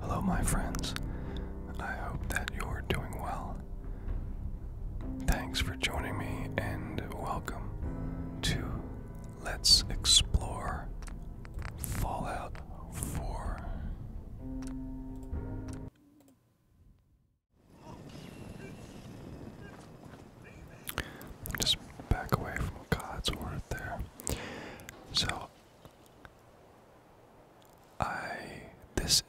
Hello, my friends. I hope that you're doing well. Thanks for joining me and welcome to Let's Explore Fallout 4. Just back away from Codsworth there. So I this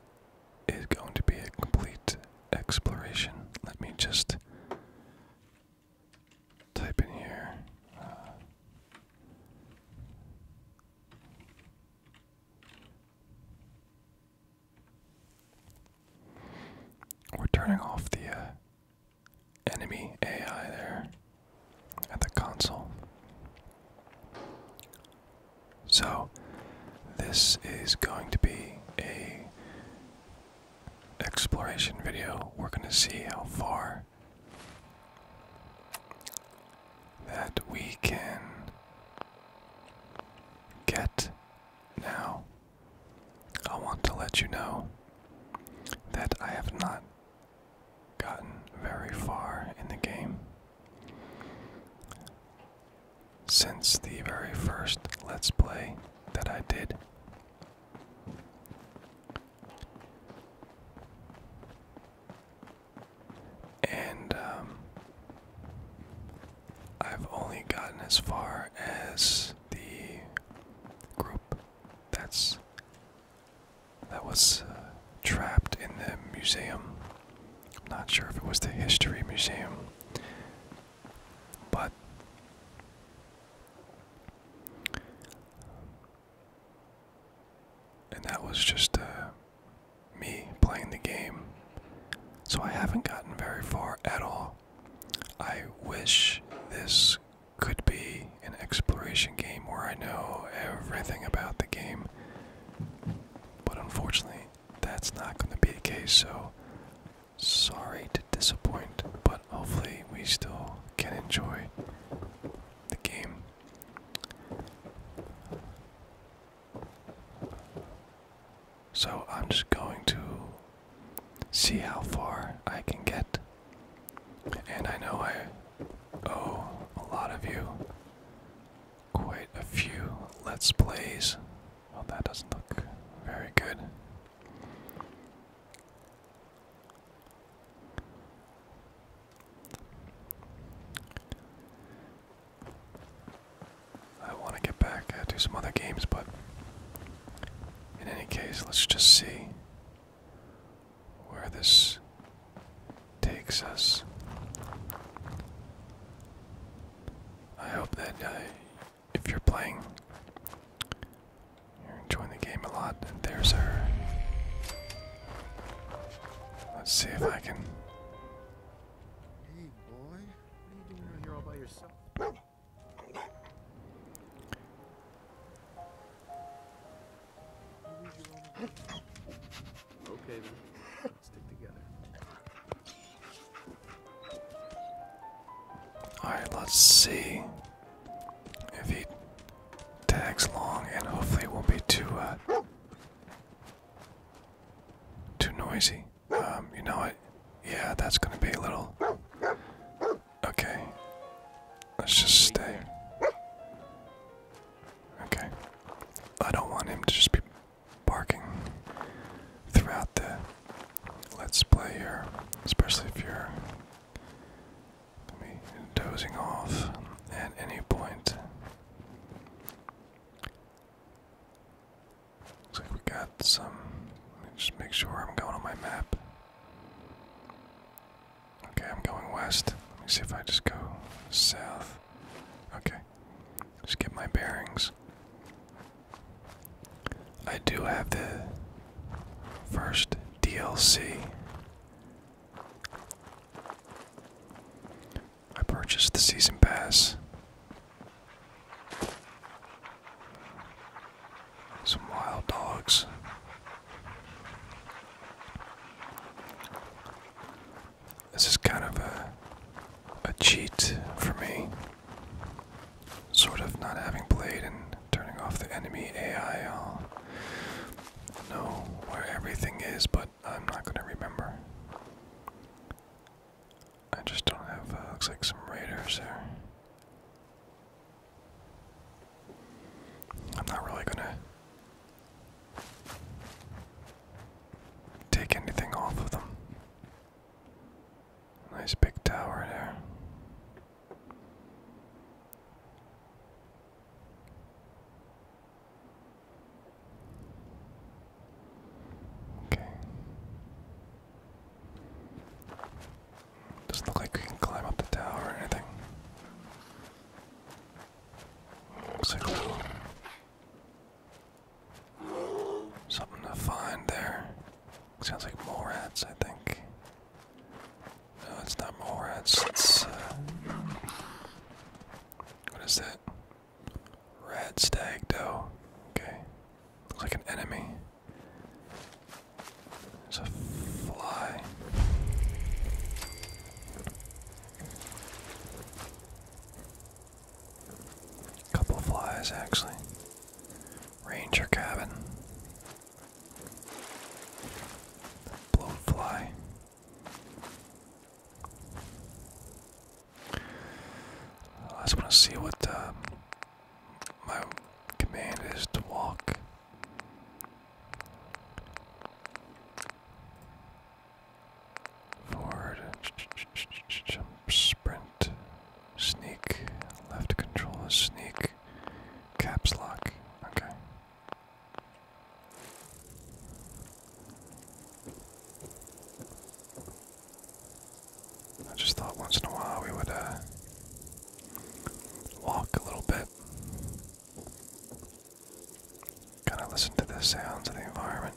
is going to be a complete exploration. Let me just type in here. Uh, we're turning off the uh, enemy AI there at the console. So, this is going to be a exploration video. We're going to see how far that we can get now I want to let you know that I have not gotten very far in the game since the very first Let's Play that I did. And um, I've only gotten as far as the group that's that was uh, trapped in the museum. I'm not sure if it was the history museum, but and that was just uh, me playing the game. So I haven't gotten very far at all. I wish this could be an exploration game where I know everything about the game. But unfortunately, that's not going to be the case, so sorry to disappoint, but hopefully, we still can enjoy the game. So, I'm just going to see how far I can get. And I know I owe a lot of you quite a few Let's Plays. Well, that doesn't look very good. I want to get back uh, to some other games, but in any case, let's just see where this takes us. I hope that uh, if you're playing, you're enjoying the game a lot. there's her. Let's see if I can. Hey, boy. What are you doing here all by yourself? Alright, let's see if he tags long and hopefully it won't be too uh, too noisy. Um, you know what? Yeah, that's gonna be a little Okay. Let's just stay. Okay. I don't want him to just be barking throughout the let's play here, especially if you're dozing off at any point. Looks like we got some. just make sure I'm going on my map. Okay, I'm going west. Let me see if I just go south. Okay, just get my bearings. I do have the first DLC. I purchased the season pass. Some wild dogs. This is kind of a a cheat for me. Sort of not having played and turning off the enemy AI. I'll know where everything is, but I'm not gonna remember. I just don't have. Uh, looks like some raiders there. I'm not really gonna take anything off of them. Nice big tower there. Okay. Doesn't look like we can climb up the tower or anything. Looks like something to find there. Sounds like mole I think. No, it's not mole rats. It's uh, what is that? Red stag doe. Okay, looks like an enemy. It's a fly. A couple flies, actually. Ranger cabin. Blown fly. I see what uh, my command is to walk. Forward, sprint, sneak, left control is sneak, caps lock, okay. I just thought once in a while we would uh, walk a little bit, kind of listen to the sounds of the environment.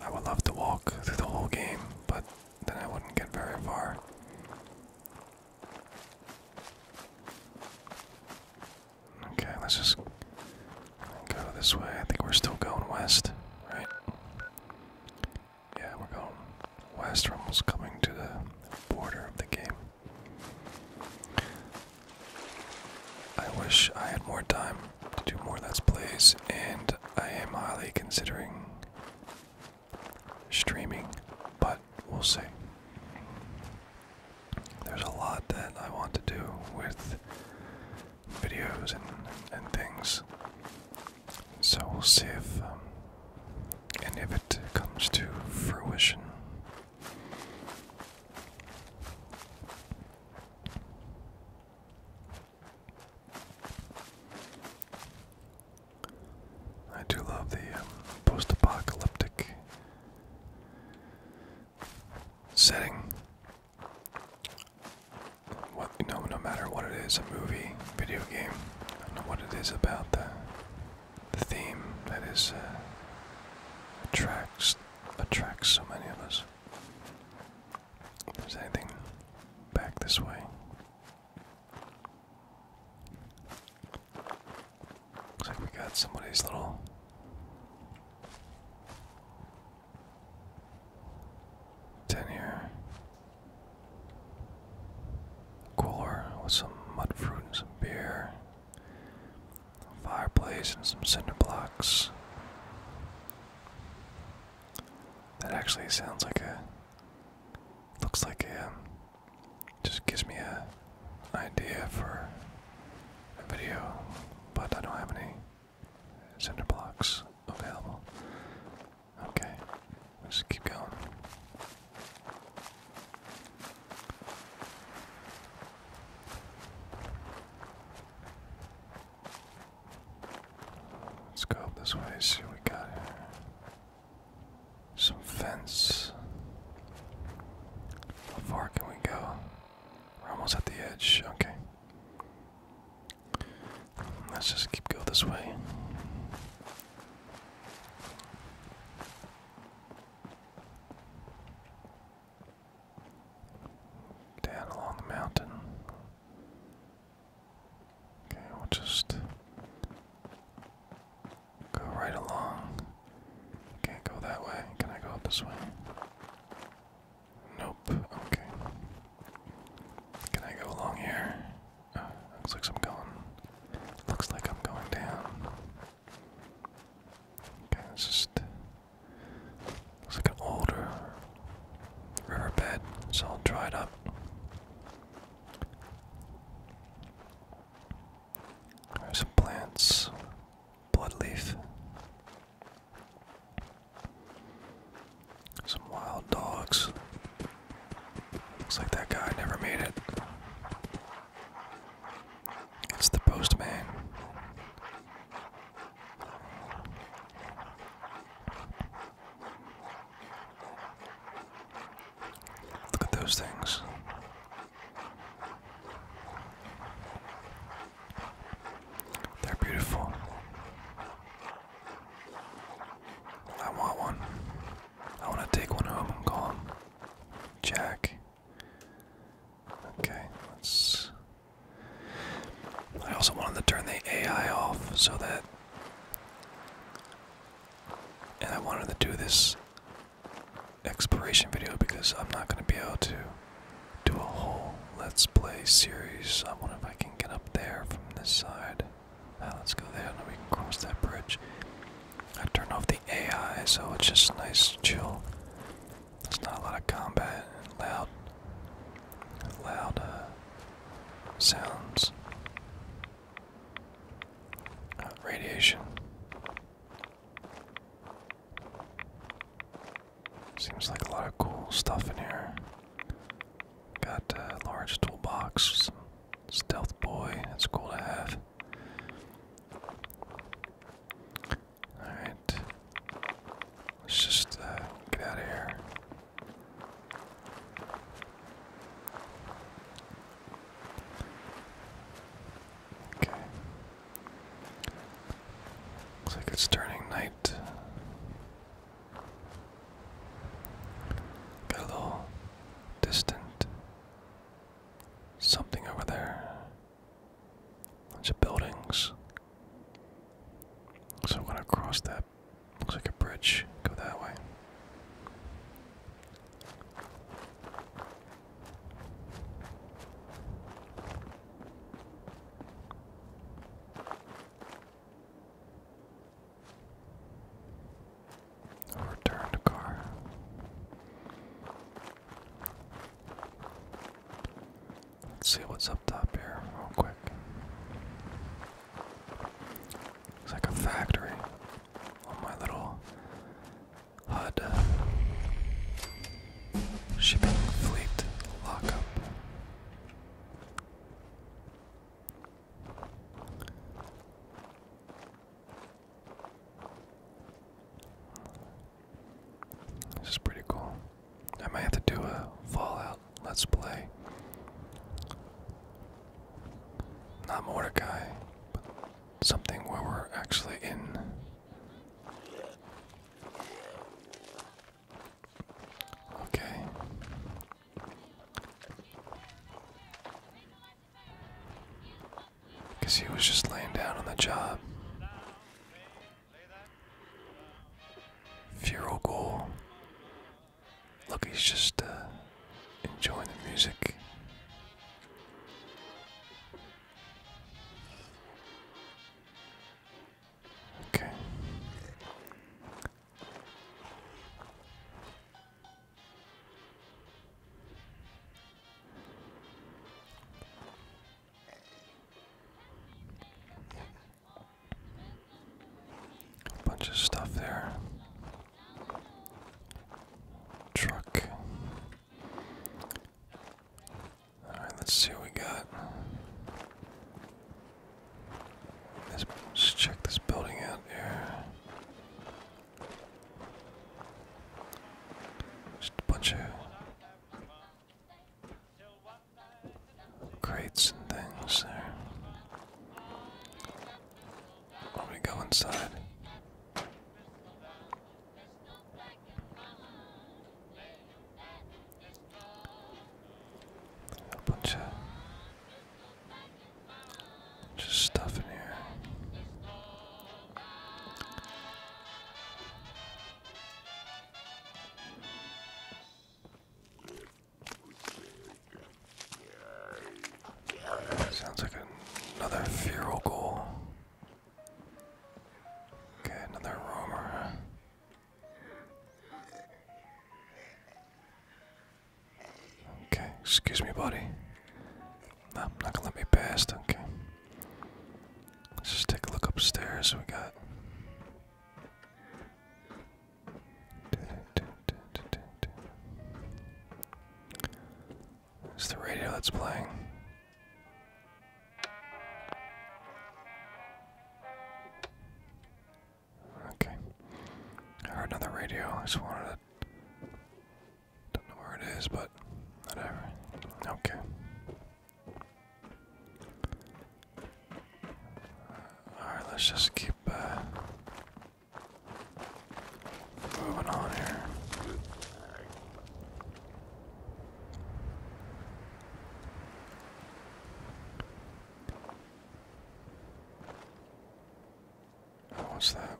I would love to walk through the whole game, but then I wouldn't get very far. Okay, let's just go this way. I think we're still going west, right? yeah, we're going west. We're coming to the border of the game. I wish I had more time to do more Let's Plays, and I am highly considering streaming, but we'll see. There's a lot that I want to do with videos and, and things. So we'll see if, um, and if it comes to fruition. I do love the um, post apocalyptic setting what you know, no matter what it is, a movie, video game, I know what it is about the the theme that is uh, attracts attracts so many of us. If anything back this way. Looks like we got somebody's little ten here. Cooler with some mud fruit and some beer. Fireplace and some cinder blocks. That actually sounds like a. Looks like a. Um, just gives me a idea for a video, but I don't have any cinder blocks available. Okay, we'll keep going. Let's go up this way, see we got Some fence. How far can we go? We're almost at the edge. Okay. Let's just keep going this way. Down along the mountain. Okay, we'll just go right along. Can't go that way. Can I go up this way? Nope. Okay. Can I go along here? Oh, looks like I'm going. Looks like I'm going down. Okay, it's just looks like an older riverbed. It's all dried up. There's some plants. Bloodleaf. Some wild dogs. Looks like that guy never made it. It's the postman. Look at those things. They're beautiful. I want one. I want to take one home and call him Jack. Okay, let's. I also wanted to turn the AI off so that. And I wanted to do this exploration video because I'm not going to be able to do a whole Let's Play series. I wonder if I can get up there from this side. Ah, let's go there and we can cross that bridge. I turned off the AI, so it's just nice, chill. There's not a lot of combat and loud, loud uh, sounds. Uh, radiation. Seems like a lot of cool stuff in here. Got a large toolbox. Stealth boy, It's cool to have. Alright. Let's just uh, get out of here. Okay. Looks like it's turning night. Got distant something over there. It's of buildings. So I'm gonna cross that. Looks like a bridge. Go that way i car. Let's see what's up top here, real quick. It's like a factory on my little HUD uh, shipping fleet lockup. This is pretty cool. I might have to do a Fallout Let's Play. Not Mordecai, but something where we're actually in. Okay. Because he was just laying down on the job. Funeral goal. Look, he's just uh, enjoying the music. Okay. Bunch of stuff there. Truck. Alright, let's see what we got. Let's check this building out here. Just a bunch of crates and things there. Let me go inside a bunch of just stuff in here. Sounds like another feral goal. Okay, another roamer. Okay, excuse me, buddy. No, I'm not gonna let me past. Okay. Let's just take a look upstairs. We got. It's the radio that's playing. Okay. I heard another radio. I just wanted to. Don't know where it is, but whatever. Okay. Uh, Alright, let's just keep uh, moving on here what's that?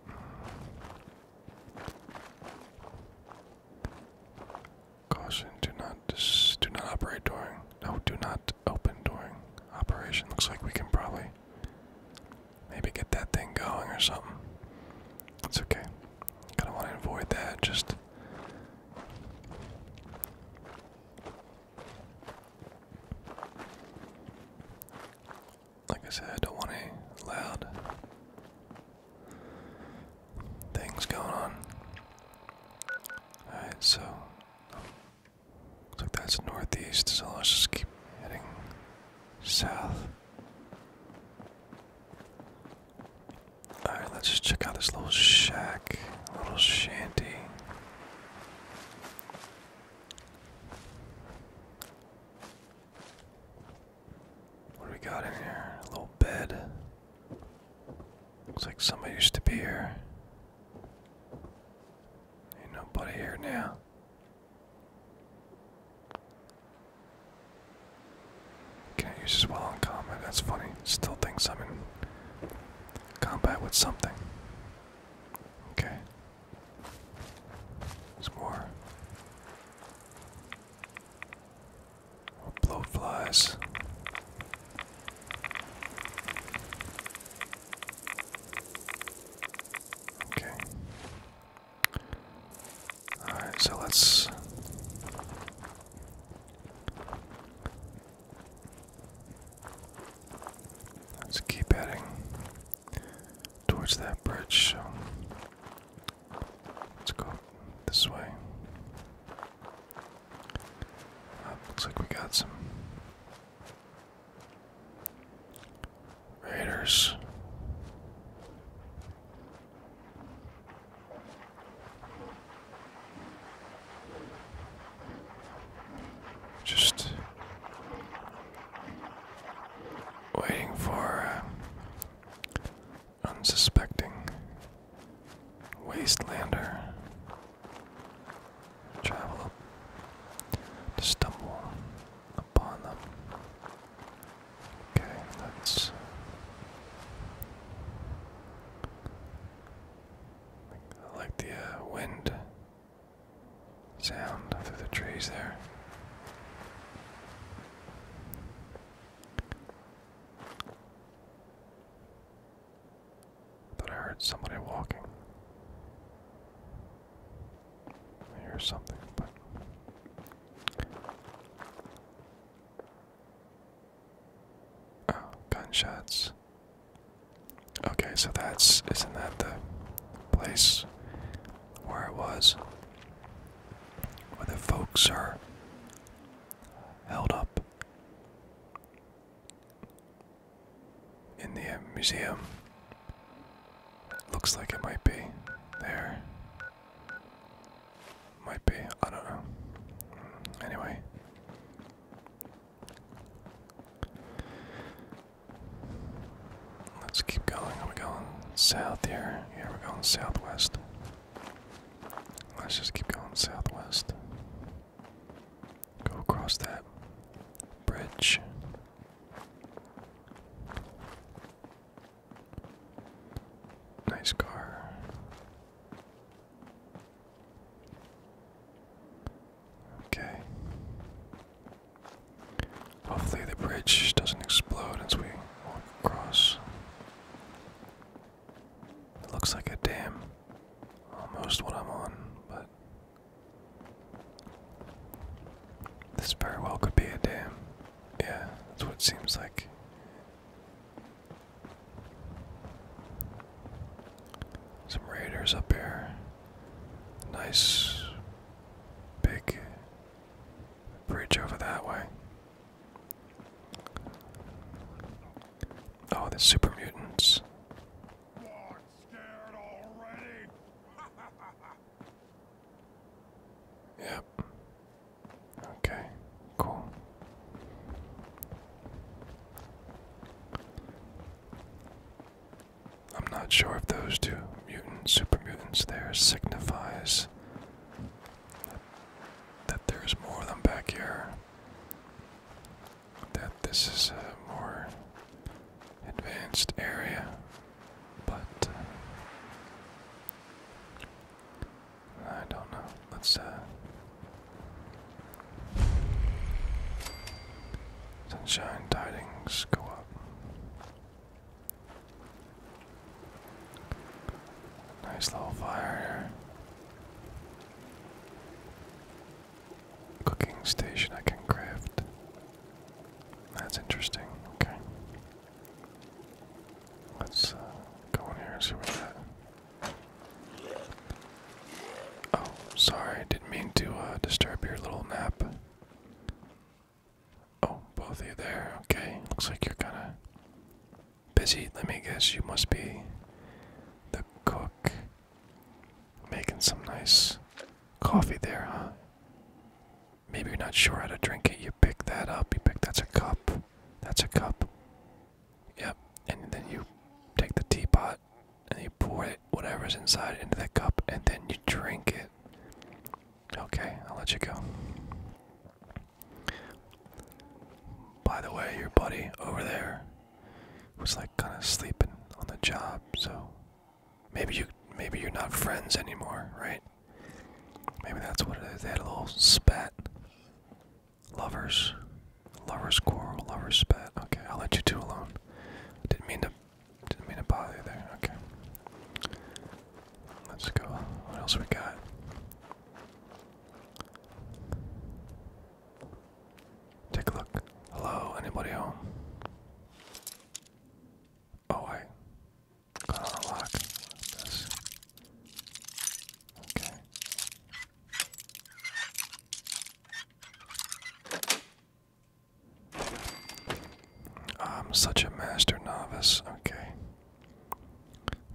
Caution, do not do not operate during. No, do not open during operation. Looks like we can probably maybe get that thing going or something. It's okay. Kinda wanna avoid that, just like I said, I don't want any loud things going on. Alright, so looks like that's northeast, so let's just keep heading south. Alright, let's just check out this little shack, little shanty. What do we got in here? A little bed. Looks like somebody used to be here. Ain't nobody here now. Can I use this while in combat? That's funny. Still thinks I'm in combat with something. Okay. There's more blowflies. Okay. All right, so let's Let's keep heading towards that bridge. So let's go this way. Uh, looks like we got some raiders. Just waiting for uh, unsuspecting wastelander to travel to stumble upon them. Okay, let's like the uh, wind sound through the trees there. Thought I heard somebody walking. I hear something, Oh, gunshots. Okay, so that's isn't that the place where it was? Where the folks are held up in the uh, museum. Looks like it might be there. Might be, I don't know. Anyway, Let's keep going. Are going south here? Yeah, we're going southwest. Let's just keep going southwest. Go across that bridge. Nice car. Okay. Hopefully the bridge doesn't explode as we walk across. It looks like a dam. Almost what I'm on, but this very well could be a dam. Yeah, that's what it seems like. Some raiders up here. Nice big bridge over that way. Oh, the super mutants. Not Okay, cool. I'm not sure if those two mutant super mutants there signifies that, there's more of them back here. That this is a more advanced area, but uh, I don't know. Let's uh, Sunshine tidings go up. Nice little fire here. Cooking station I can craft. That's interesting. Okay. Let's uh, go in here and see what that Oh, sorry, didn't mean to uh, disturb your little nap. Oh, both of you there. Okay, looks like you're kind of busy. Let me guess, you must be the cook making some nice coffee there, huh? Maybe you're not sure how to drink it. You pick that up. You pick that's a cup. That's a cup. Yep. And then you take the teapot and you pour it, whatever's inside, into the cup and then you drink it. Okay, I'll let you go. By the way, your buddy over there was like kind of sleeping on the job, so maybe you maybe you're not friends anymore, right? Maybe that's what it is. They had a little spat. Lovers. Lovers quarrel, lovers spat. Okay, I'll let you two alone. Didn't mean to didn't mean to bother you there. Okay. Let's go. What else we got? Take a look. Hello, anybody home? Oh wait. Got on Okay. I'm such a master novice. Okay.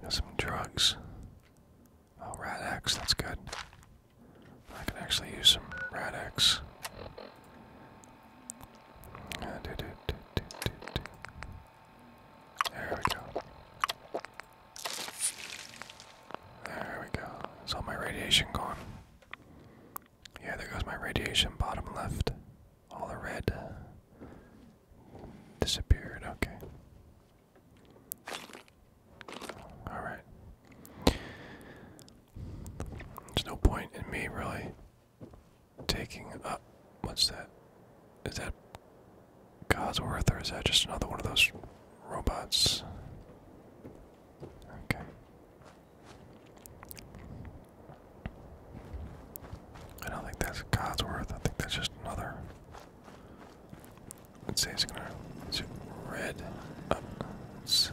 Got some drugs. Oh, Radex, that's good. I can actually use some Radex. There we go. There we go. Is my radiation gone? Yeah, there goes my radiation, bottom left. All the red disappeared, okay. Alright. There's no point in me really taking up. What's that? Is that Godsworth or is that just another one of those robots. Okay. I don't think that's Godsworth. I think that's just another. Let's see, it's gonna. red. Uh, it's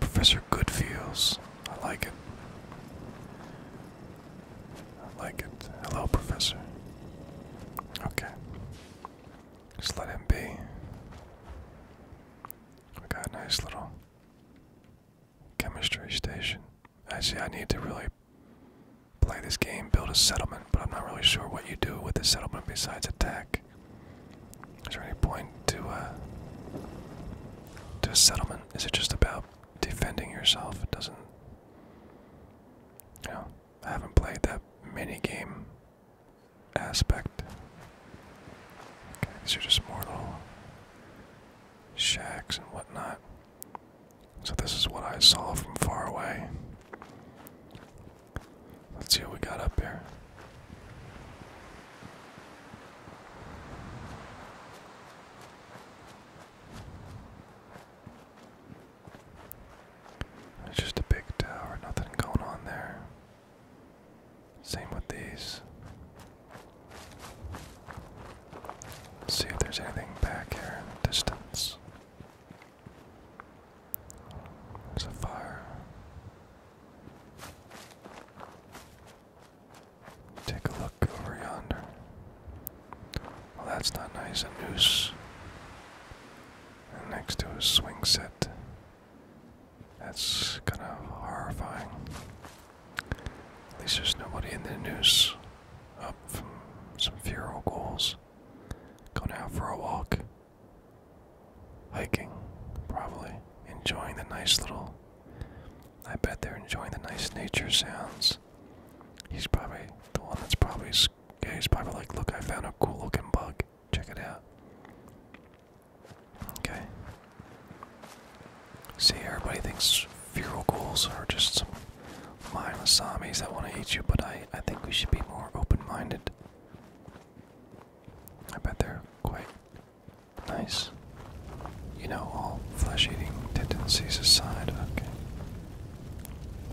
Professor Goodfields. I like it. I like it. Hello, Professor. Okay. Just let him be. We got a nice little chemistry station. I see. I need to really play this game, build a settlement, but I'm not really sure what you do with the settlement besides attack. Is there any point to a uh, to a settlement? Is it just about defending yourself? It doesn't. You know, I haven't played that mini game aspect. these are just mortal shacks and whatnot. So this is what I saw from far away. Let's see what we got up here. It's just a big tower, nothing going on there. Same with these. see if there's anything back here in the distance. It's a fire. Take a look over yonder. Well, that's not nice. A noose next to a swing set. That's kind of horrifying. At least there's nobody in the noose. Up from some funeral goals. Going out for a walk. Hiking, probably. Enjoying the nice little. I bet they're enjoying the nice nature sounds. He's probably the one that's probably. Yeah, he's probably like, look, I found a cool looking bug. Check it out. Okay. See, everybody thinks feral ghouls are just some mindless zombies that want to eat you, but I, I think we should be more open-minded. I bet they're quite nice. You know, all flesh-eating tendencies aside. Okay.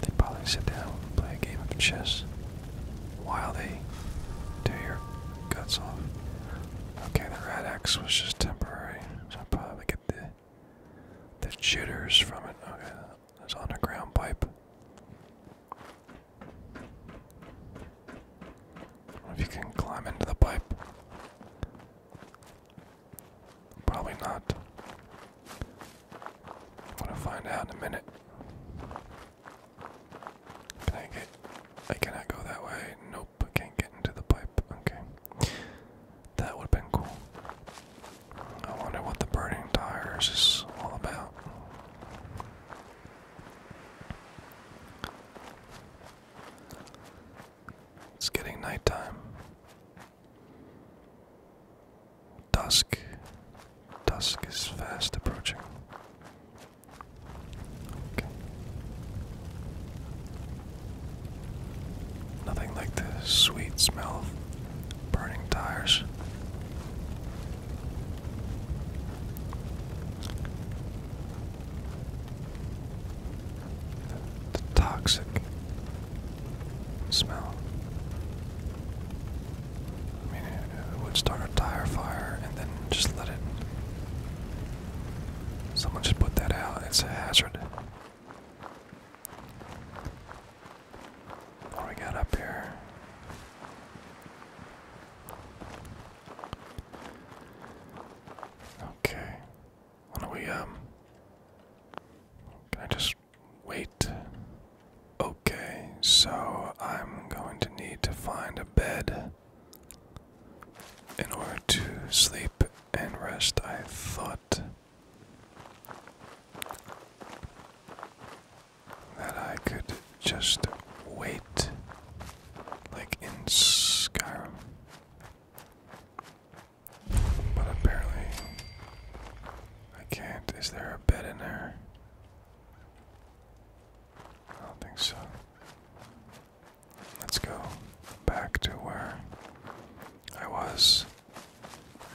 They'd probably sit down and play a game of chess while they tear your guts off. Okay, the red X was just temporary, so i probably get the the jitters from it. Okay, that's ground pipe. If you can climb into the pipe, probably not. I'm gonna find out in a minute. Can I get? I cannot go that way. Nope, I can't get into the pipe. Okay, that would have been cool. I wonder what the burning tires is all about. It's getting nighttime. Dusk. Dusk is fast approaching. Nothing like the sweet smell of burning tires. the toxic smell. I mean, it would start a tire fire and then just let it. Someone should put that out. It's a hazard. What we got up here? Okay. Why don't we, um, Can I just Wait. Okay, so I'm going to need to find a bed in order to sleep and rest, I thought. That I could just wait, like in Skyrim. But apparently, I can't. Is there a bed in there? I don't think so. Let's go back to where I was.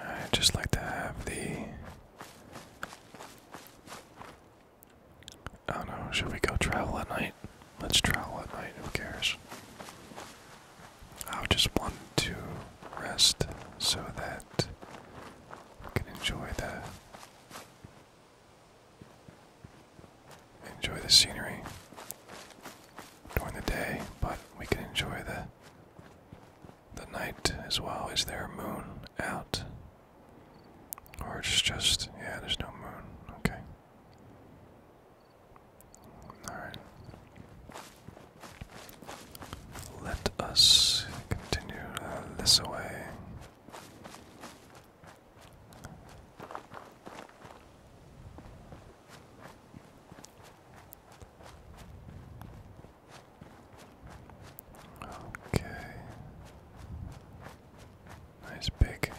I'd just like to have the. I don't know, should we go travel at night? Let's travel at night, who cares? I just want to rest so that I can enjoy the enjoy the scenery during the day, but we can enjoy the the night as well. Is there a moon out? Or it's just yeah, there's no moon. Okay. Alright. Let us continue uh, this away. Okay. Nice big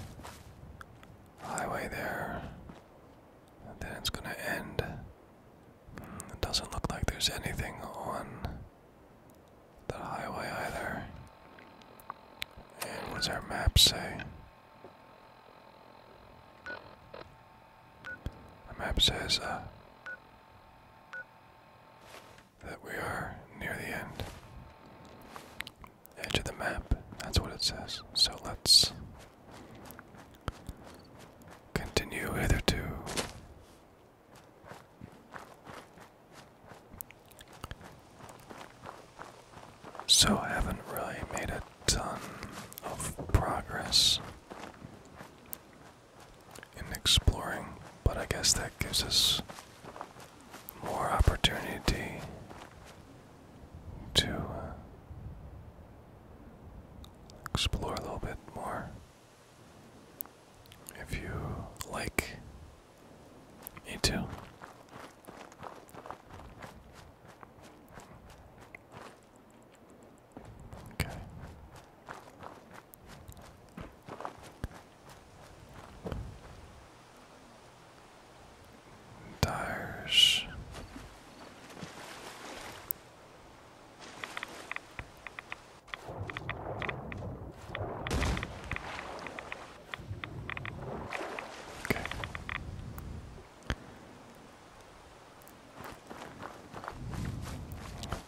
highway there. then it's going to end it doesn't look like there's anything on the highway either. And what does our map say? Our map says uh, that we are near the end. Edge of the map, that's what it says. So let's continue hither to. So I haven't really made a ton of progress in exploring, but I guess that gives us more opportunity to uh, explore a little bit more if you like me too. Okay. Tires Okay.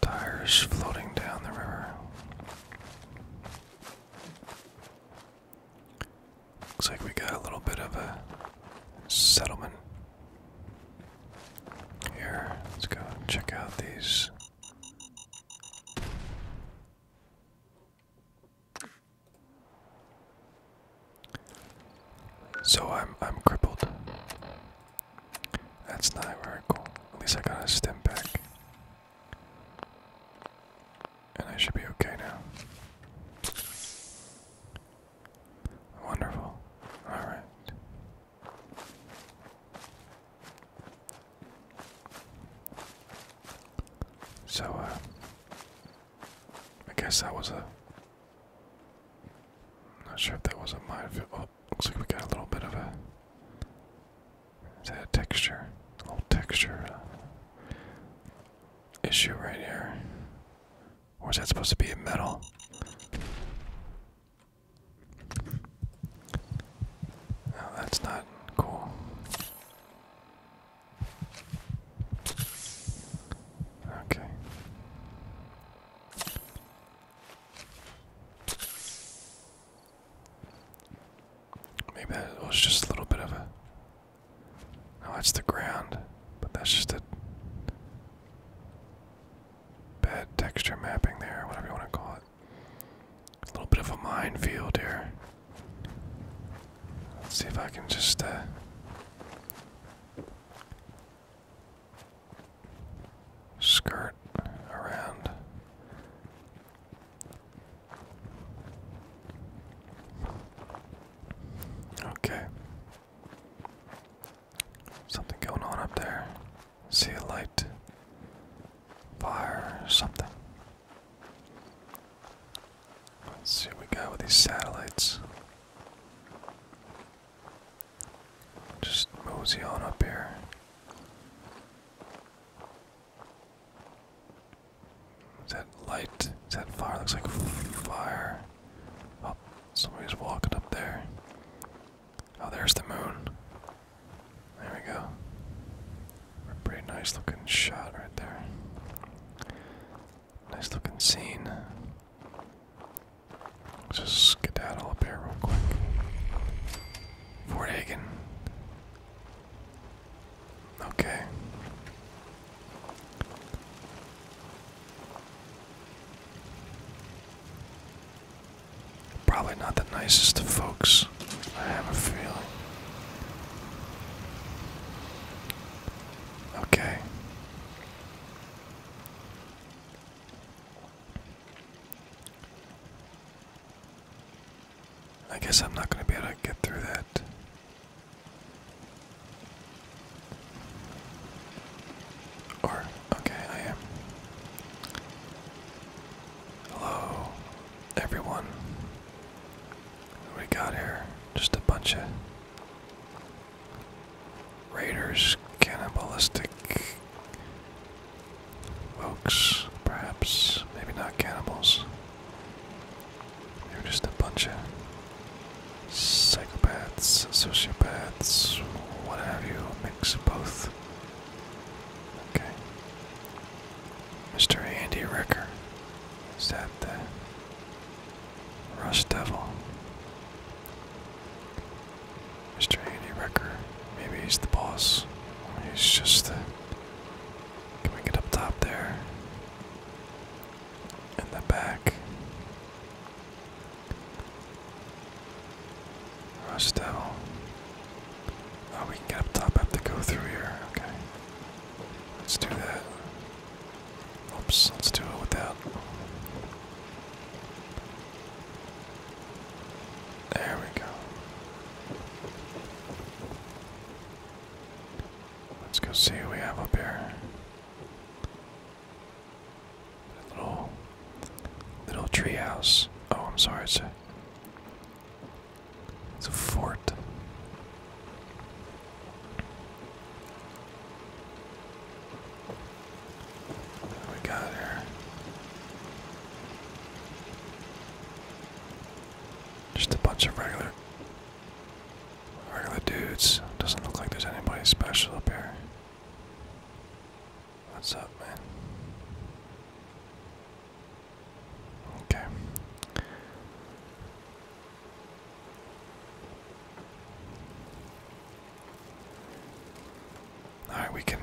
Tires floating down the river. Looks like we got a little bit of a settlement here, let's go check out these. So I'm I'm crippled. That's not very cool. At least I got a stem back. And I should be okay now. Wonderful. Alright. So, uh, I guess that was a. not sure if that was a minefield. Oh, looks like we got a little bit of a. Is that a texture? A texture uh, issue right here. Or is that supposed to be a metal? No, that's not cool. Okay. Maybe that was just a little bit of a. No, that's the ground, but that's just a bad texture mapping there, whatever you want to call it. A little bit of a minefield here. Let's see if I can just. Uh, skirt around. Okay. Something going on up there. See a light. Fire or something. see what we got with these satellites. Just mosey on up here. Is that light? Is that fire? Looks like fire. Oh, somebody's walking up there. Oh, there's the moon. There we go. pretty nice looking shot right there. Nice looking scene. Let's just skedaddle up here real quick. Fort Hagen. Okay. Probably not the nicest of folks, I have a feeling. Okay. I guess I'm not going to be able to get through that. Or, okay, I am. Hello, everyone. we got here? Just a bunch of raiders, cannibalistic folks, perhaps. Maybe not cannibals. They're just a bunch of psychopaths, sociopaths, what have you, mix both. Okay. Mr. Andy Ricker. Is that the Rust Devil? Mr. Andy Ricker. Maybe he's the boss. He's just the. Can we get up top there? In the back. Rush Oh, we can get up top. have to go through here. Okay. Let's do that. Oops, let's do it without. There we go. Let's go see what we have up here little little tree house. Oh, I'm sorry. It's a, it's a fort. we got here? Just a bunch of regular regular dudes. Doesn't look like there's anybody special up here. What's up, man? Okay. Alright, we can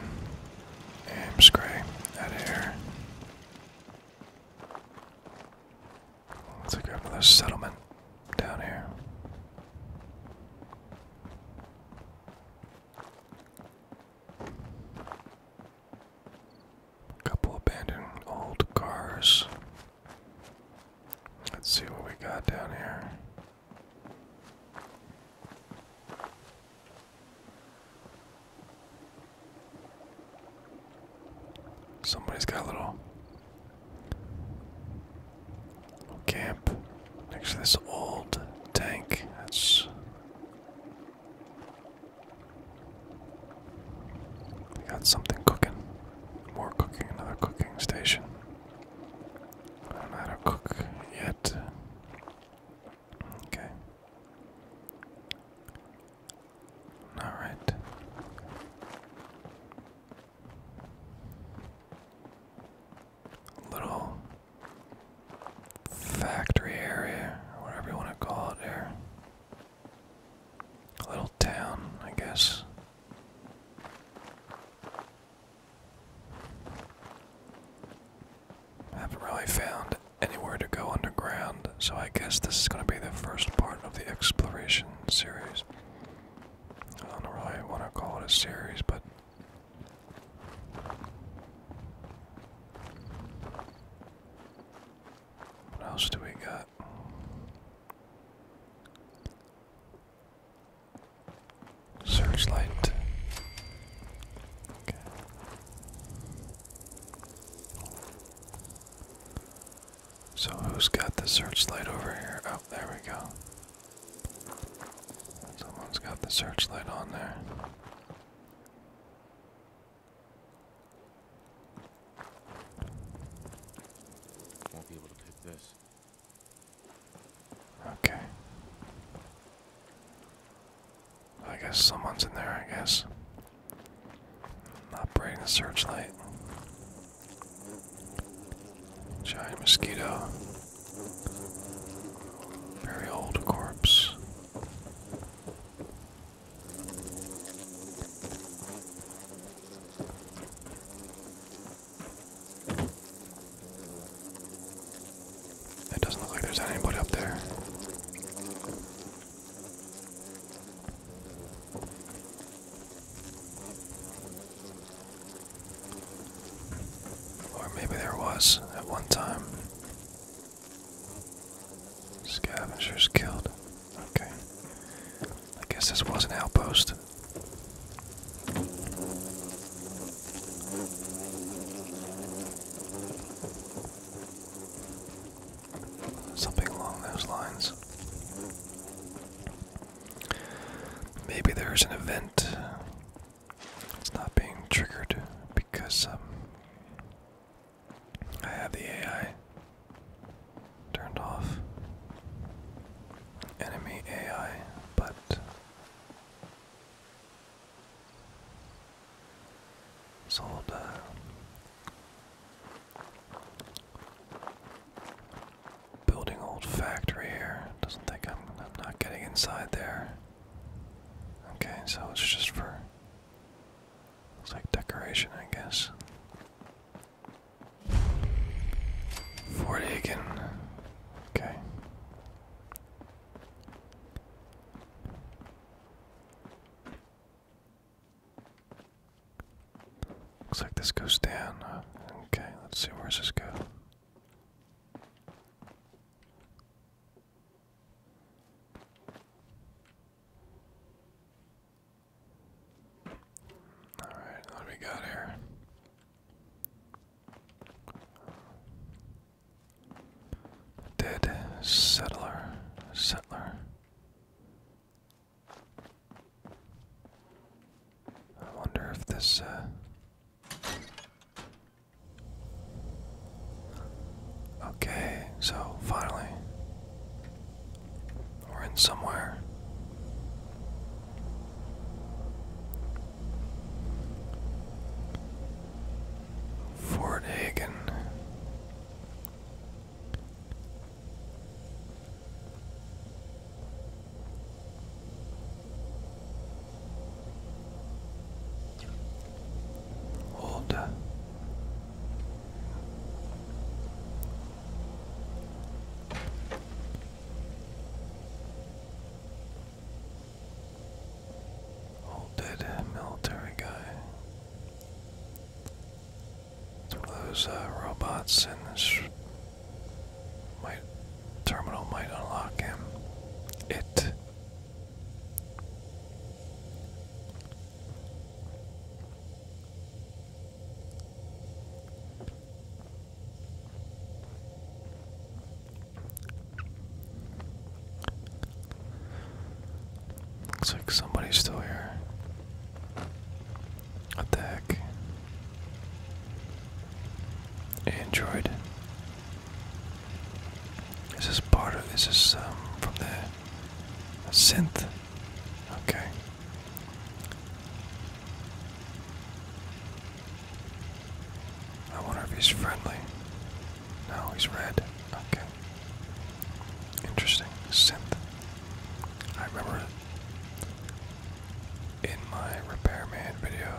aim scray out of here. Let's go to another settlement down here. Couple abandoned old cars. Let's see what we got down here. Somebody's got a little we camp next to this old tank. That's. We got something cooking. More cooking, another cooking station. I don't a cook yet. Okay. Alright little factory area, or whatever you want to call it there. A little town, I guess. I haven't really found anywhere to go underground, so I guess this is going to be the first part of the exploration series. I don't really want to call it a series, but what else do we got? Searchlight. So who's got the searchlight over here? Oh, there we go. Someone's got the searchlight on there. Won't be able to pick this. Okay. I guess someone's in there, I guess. Operating the searchlight. Giant mosquito. Very old corpse. It doesn't look like there's anybody up there. Or maybe there was at one time. Scavengers killed. Okay. I guess this was an outpost. Something along those lines. Maybe there's an event that's not being triggered because um, I have the AI turned off. Enemy AI, but. Sold building old factory here. Doesn't think I'm, not getting inside there. Okay, so it's just for it's like decoration, I guess. Forty again. Okay. Looks like this goes down. Okay, let's see where does this go. All right, what we got here? Dead settler, settler. I wonder if this, uh. Okay, so finally. We're in somewhere. Fort Hagen. Hold. Old dead military guy. those uh, robots in my terminal might unlock him. It. Looks like somebody's still here. What the heck? Android. Is this part of this is um, from the synth? Okay. I wonder if he's friendly. Now he's red. Okay. Interesting. Synth. I remember in my repairman video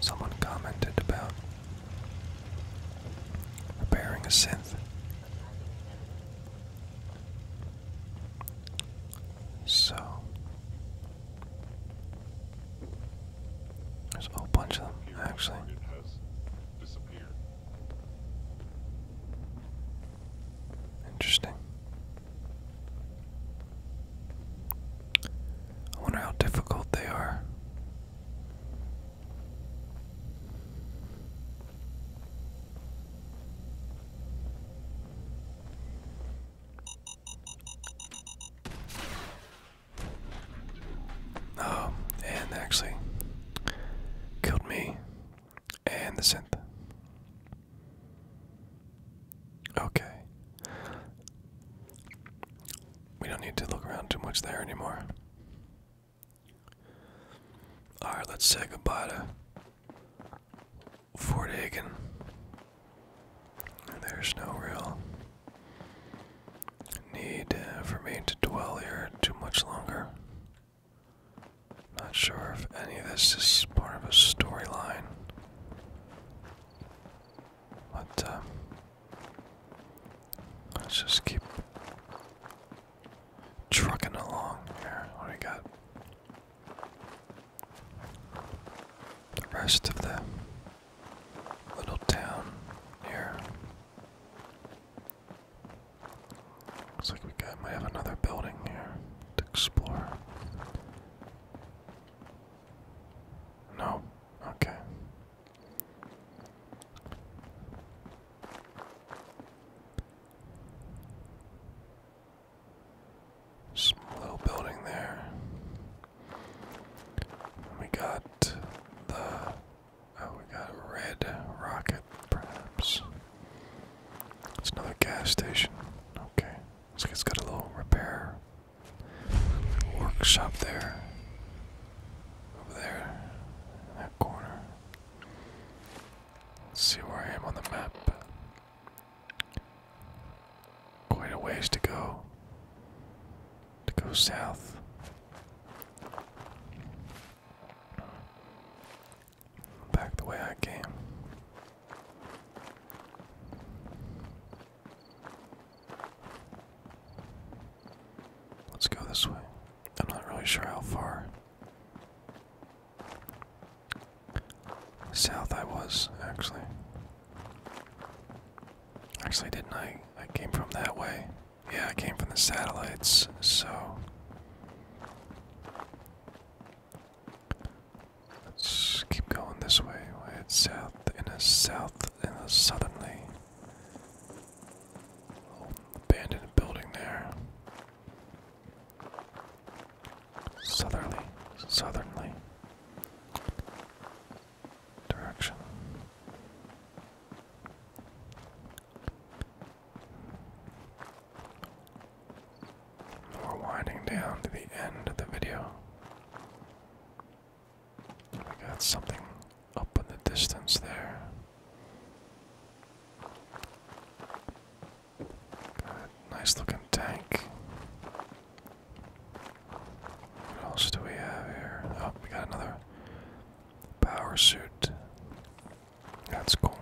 someone commented about repairing a synth so there's a whole bunch of them actually Interesting. I wonder how difficult they are. Oh, and actually killed me and the synth. Okay. We don't need to look around too much there anymore. Alright, let's say goodbye to Fort Hagen. There's no real need uh, for me to dwell here too much longer. Not sure if any of this is part of a storyline. But, um, let's just keep trucking along here. What do we got? The rest of the little town here. Looks like we might have another building here to explore. No. Okay. Some little building there. We got the oh, we got red rocket, perhaps. It's another gas station. Okay. Looks like it's got a little repair workshop there. Over there, that corner. Let's see where I am on the map. Quite a ways to go. To go south back the way I came. Let's go this way. I'm not really sure how far south I was, actually. Actually, didn't I? I came from that way. Yeah, I came from the satellites, so. Let's keep going this way. we head south in a south and a southerly. Little abandoned building there. Southerly, southerly direction. We're winding down to the end of the video. We got something up in the distance there. nice looking tank. What else do we have here? Oh, we got another power suit. That's cool.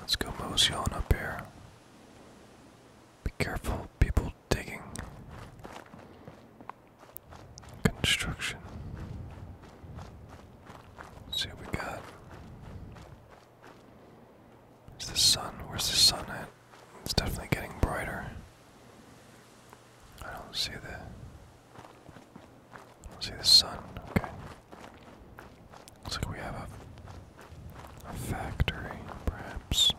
Let's go mosey on up here. Be careful, people digging. Construction. see what we got. Is the sun? Where's the sun at? It's definitely getting brighter. I don't see the See the sun, okay. Looks like we have a, factory, perhaps.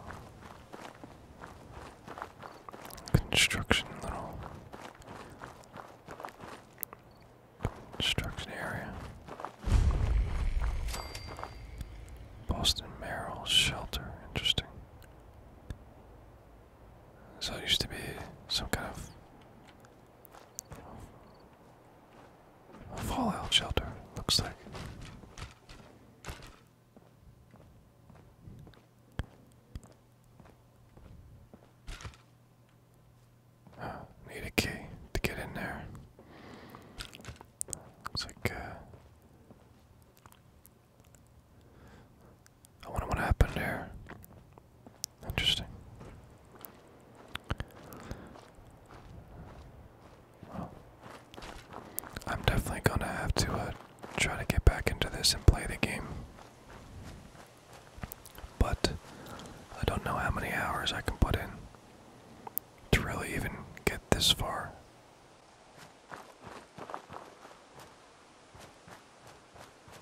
Construction, little construction area. Boston Merrill shelter, interesting. So it used to be some kind of a fallout shelter, looks like. need a key to get in there. Looks like, uh, I wonder what happened there. Interesting. Well, I'm definitely gonna have to uh, try to get back into this and play the game. But I don't know how many hours I can put in to really even get this far.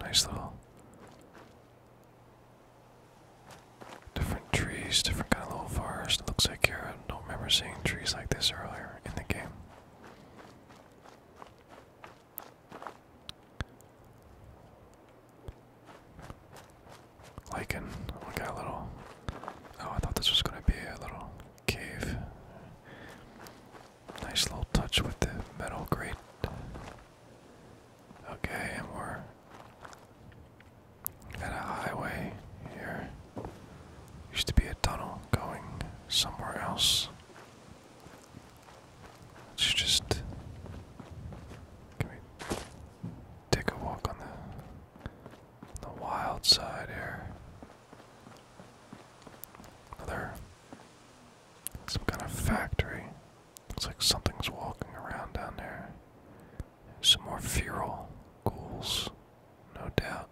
Nice little different trees, different kind of little forest. looks like here. I don't remember seeing trees like this earlier in the game. Lichen. We got a little. Oh, I thought this was going to be a little cave. Nice little touch with the metal grate. Okay, and we're at a highway here. Used to be a tunnel going somewhere else. Let's just take a walk on the wild side here. Another some kind of factory. Looks like something's walking around down there. Some more feral ghouls, no doubt.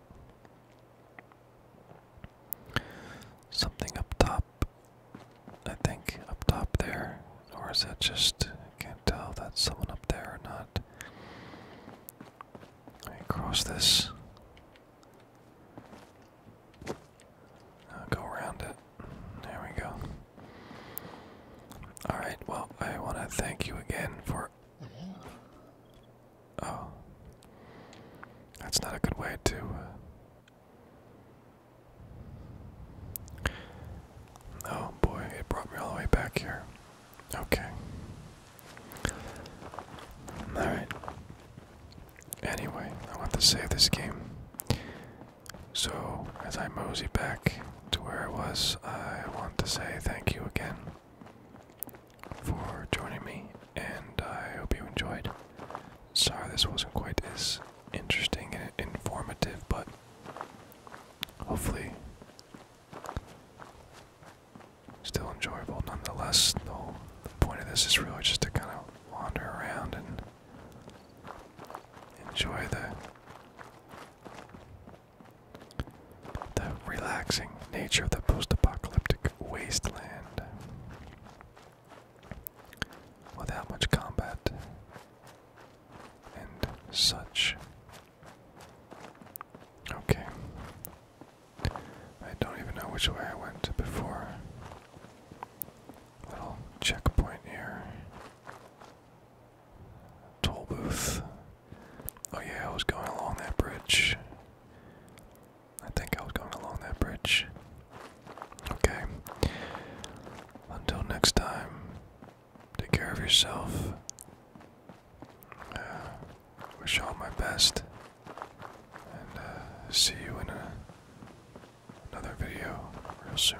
Something up top, I think, up top there. Or is that just, I can't tell if that's someone up there or not. Let me cross this i uh, go around it. There we go. Alright, well, I want to thank you again for. Oh. That's not a good way to. Uh, oh boy, it brought me all the way back here. Okay. Alright. Anyway, I want to save this game. So, as I mosey back to where I was, I want to say thank you again for joining me, and I hope you enjoyed. Sorry this wasn't quite as interesting and informative, but hopefully still enjoyable nonetheless. The point of this is really just to kind of wander around and Enjoy the the relaxing nature of the post-apocalyptic wasteland without much combat and such. Okay. I don't even know which way I went before. Little checkpoint here. Toll booth. Oh, yeah, I was going along that bridge. I think I was going along that bridge. Okay. Until next time, take care of yourself. Uh, wish all my best. And uh, see you in a another video real soon.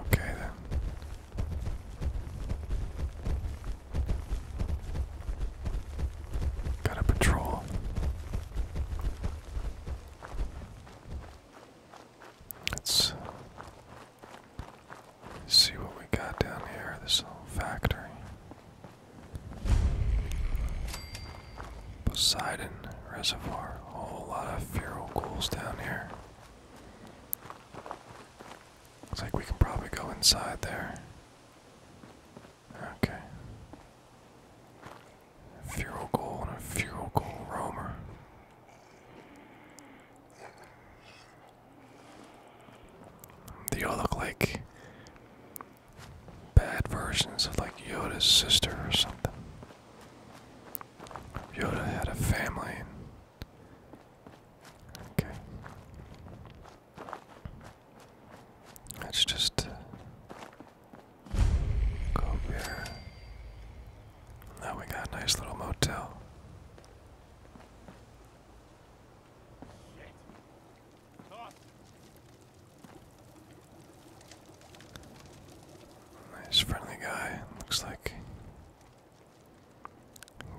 Okay, then. Got a patrol. Let's see what we got down here, this little factory. Poseidon Reservoir, a whole lot of feral ghouls down here. Looks like we can probably go inside there. Okay. A feral and a fuel ghoul roamer. They all look like bad versions of like Yoda's sister or something. Yoda had a family. Okay. let just Go beer. Now we got a nice little motel. Nice friendly guy. Looks like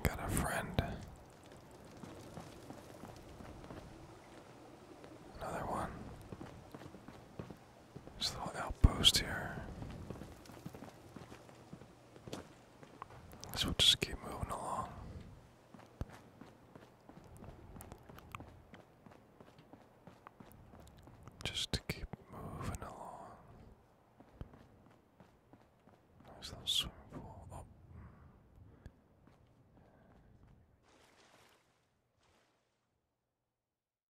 got a friend. Another one. This little outpost here. So we just keep moving along. Just to keep moving along. There's a little swimming pool. Oh.